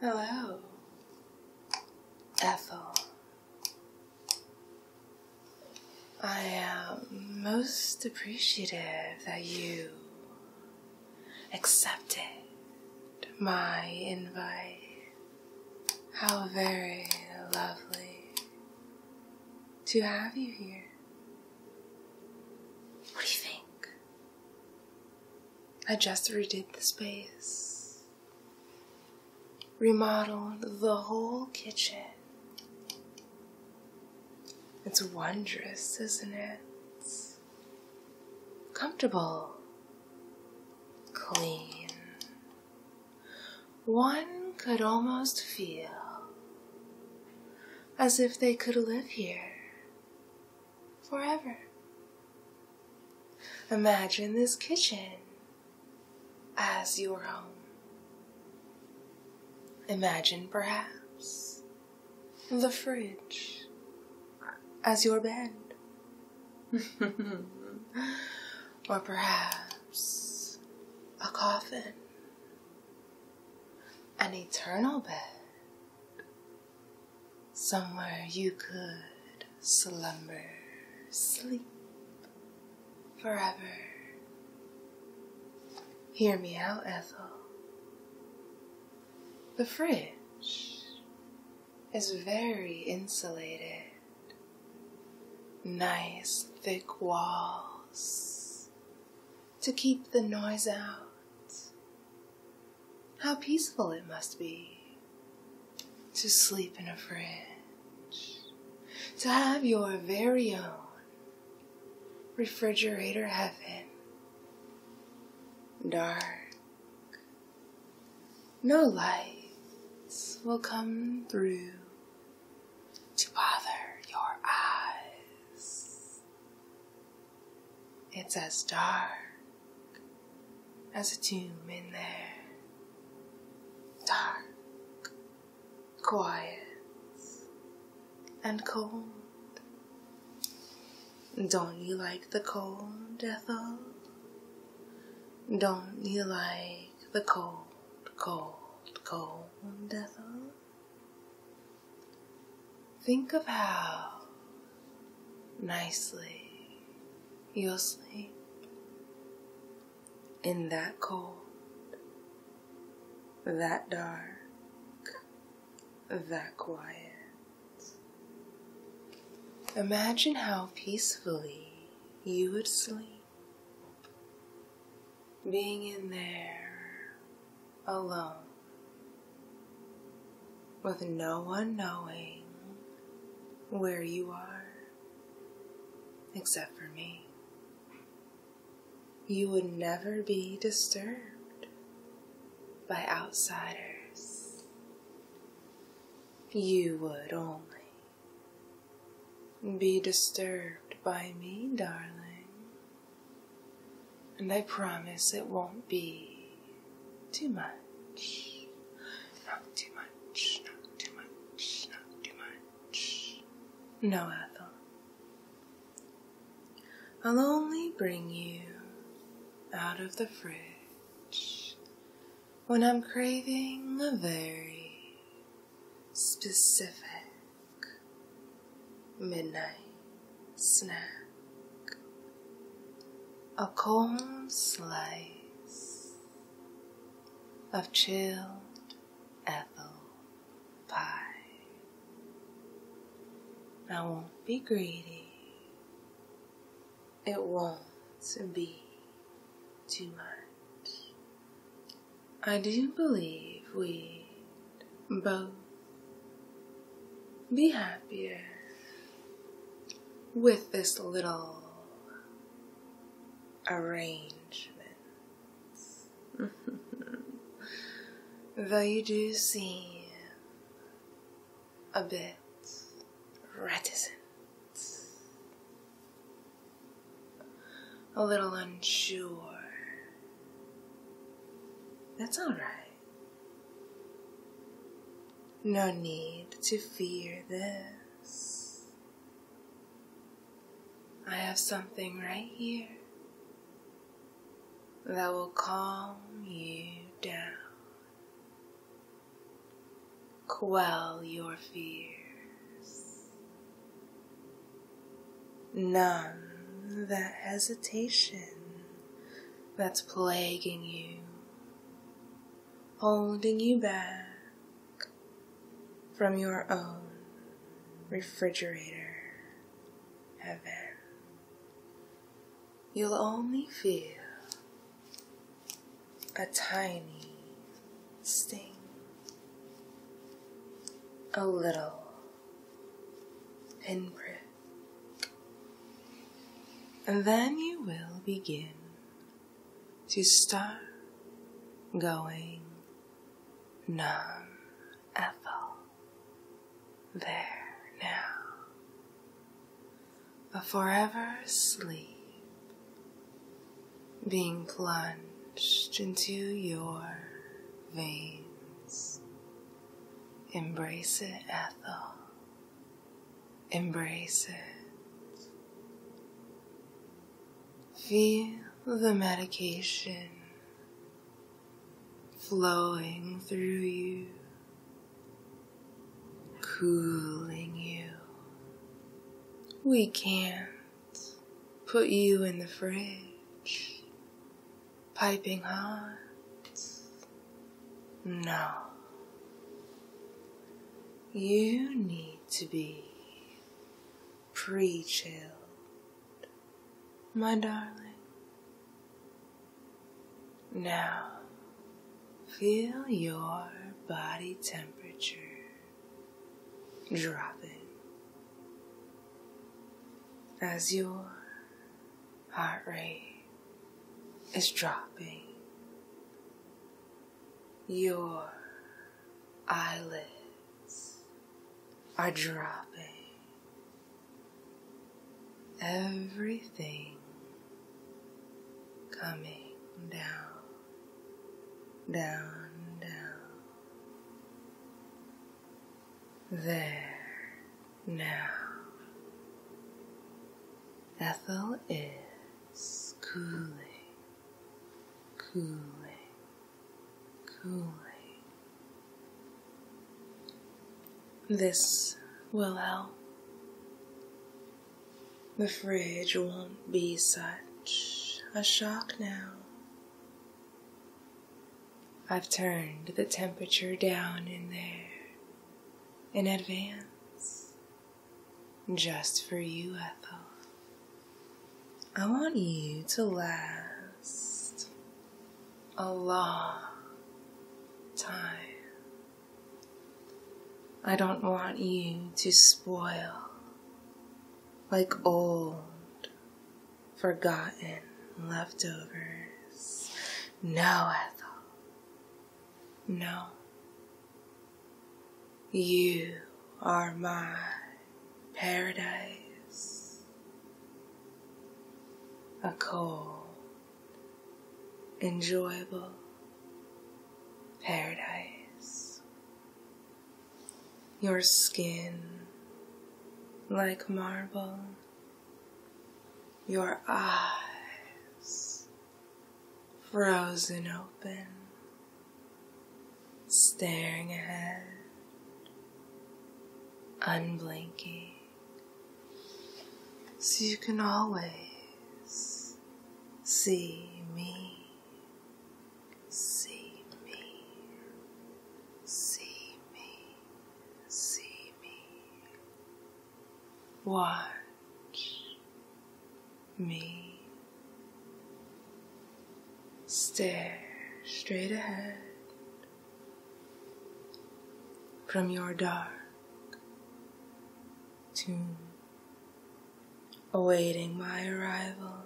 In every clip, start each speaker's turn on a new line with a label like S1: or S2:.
S1: Hello, Ethel. I am most appreciative that you accepted my invite how very lovely to have you here. What do you think? I just redid the space, remodeled the whole kitchen. It's wondrous, isn't it? Comfortable, clean, one could almost feel as if they could live here forever. Imagine this kitchen as your home. Imagine perhaps the fridge as your bed. or perhaps a coffin, an eternal bed, somewhere you could slumber, sleep forever. Hear me out, Ethel. The fridge is very insulated. Nice thick walls to keep the noise out. How peaceful it must be to sleep in a fridge, to have your very own refrigerator heaven. Dark, no lights will come through to bother your eyes. It's as dark as a tomb in there. Dark, quiet, and cold. Don't you like the cold, Ethel? Don't you like the cold, cold, cold devil? Think of how nicely you'll sleep in that cold, that dark, that quiet. Imagine how peacefully you would sleep. Being in there alone with no one knowing where you are except for me. You would never be disturbed by outsiders you would only be disturbed by me, darling, and I promise it won't be too much. Not too much, not too much, not too much. No, Ethel. I'll only bring you out of the fridge when I'm craving a very specific midnight snack, a cold slice of chilled apple pie. I won't be greedy. It won't be too much. I do believe we'd both be happier with this little arrangements. Though you do seem a bit reticent, a little unsure. That's all right. No need to fear this. I have something right here that will calm you down. Quell your fears. Numb that hesitation that's plaguing you, holding you back from your own refrigerator heaven. You'll only feel a tiny sting, a little pinprick. And then you will begin to start going numb, Ethel. There now a forever sleep, being plunged into your veins. Embrace it, Ethel. Embrace it. Feel the medication flowing through you cooling you. We can't put you in the fridge, piping hot. No. You need to be pre chilled, my darling. Now, feel your body temperature dropping as your heart rate is dropping. Your eyelids are dropping. Everything coming down, down, down. There, now. Ethel is cooling, cooling, cooling. This will help the fridge won't be such a shock now. I've turned the temperature down in there in advance. Just for you, Ethel. I want you to last a long time. I don't want you to spoil like old, forgotten leftovers. No, Ethel. No. You are my paradise. A cold enjoyable paradise. Your skin like marble, your eyes frozen open, staring ahead, unblinking so you can always see me, see me, see me, see me. Watch me. Stare straight ahead from your dark to awaiting my arrival,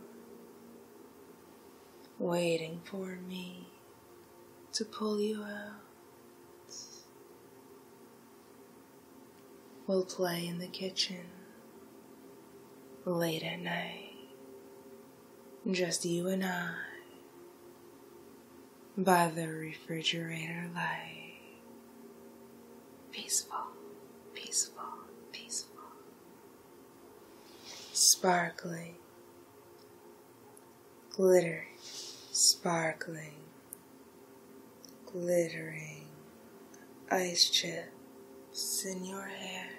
S1: waiting for me to pull you out. We'll play in the kitchen late at night, just you and I by the refrigerator light. Peaceful, peaceful, peaceful. Sparkling, glitter, sparkling, glittering ice chips in your hair,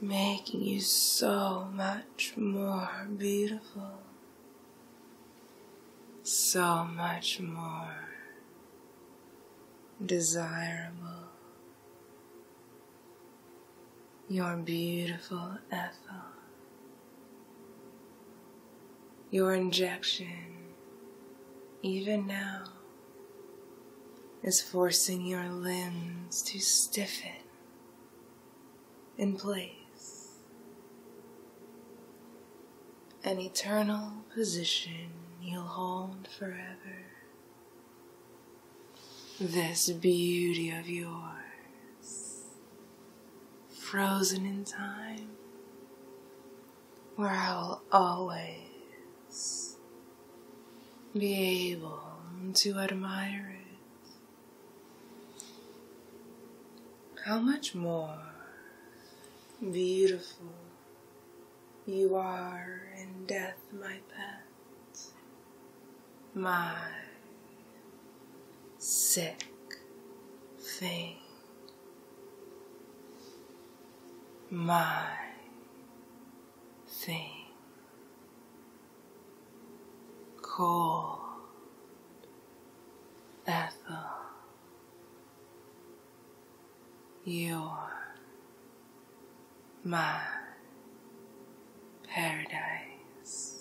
S1: making you so much more beautiful so much more desirable. Your beautiful Ethel, your injection, even now, is forcing your limbs to stiffen in place, an eternal position you'll hold forever. This beauty of yours, frozen in time, where I will always be able to admire it how much more beautiful you are in death, my pet, my sick thing, my thing. Cold Ethel, you're my paradise.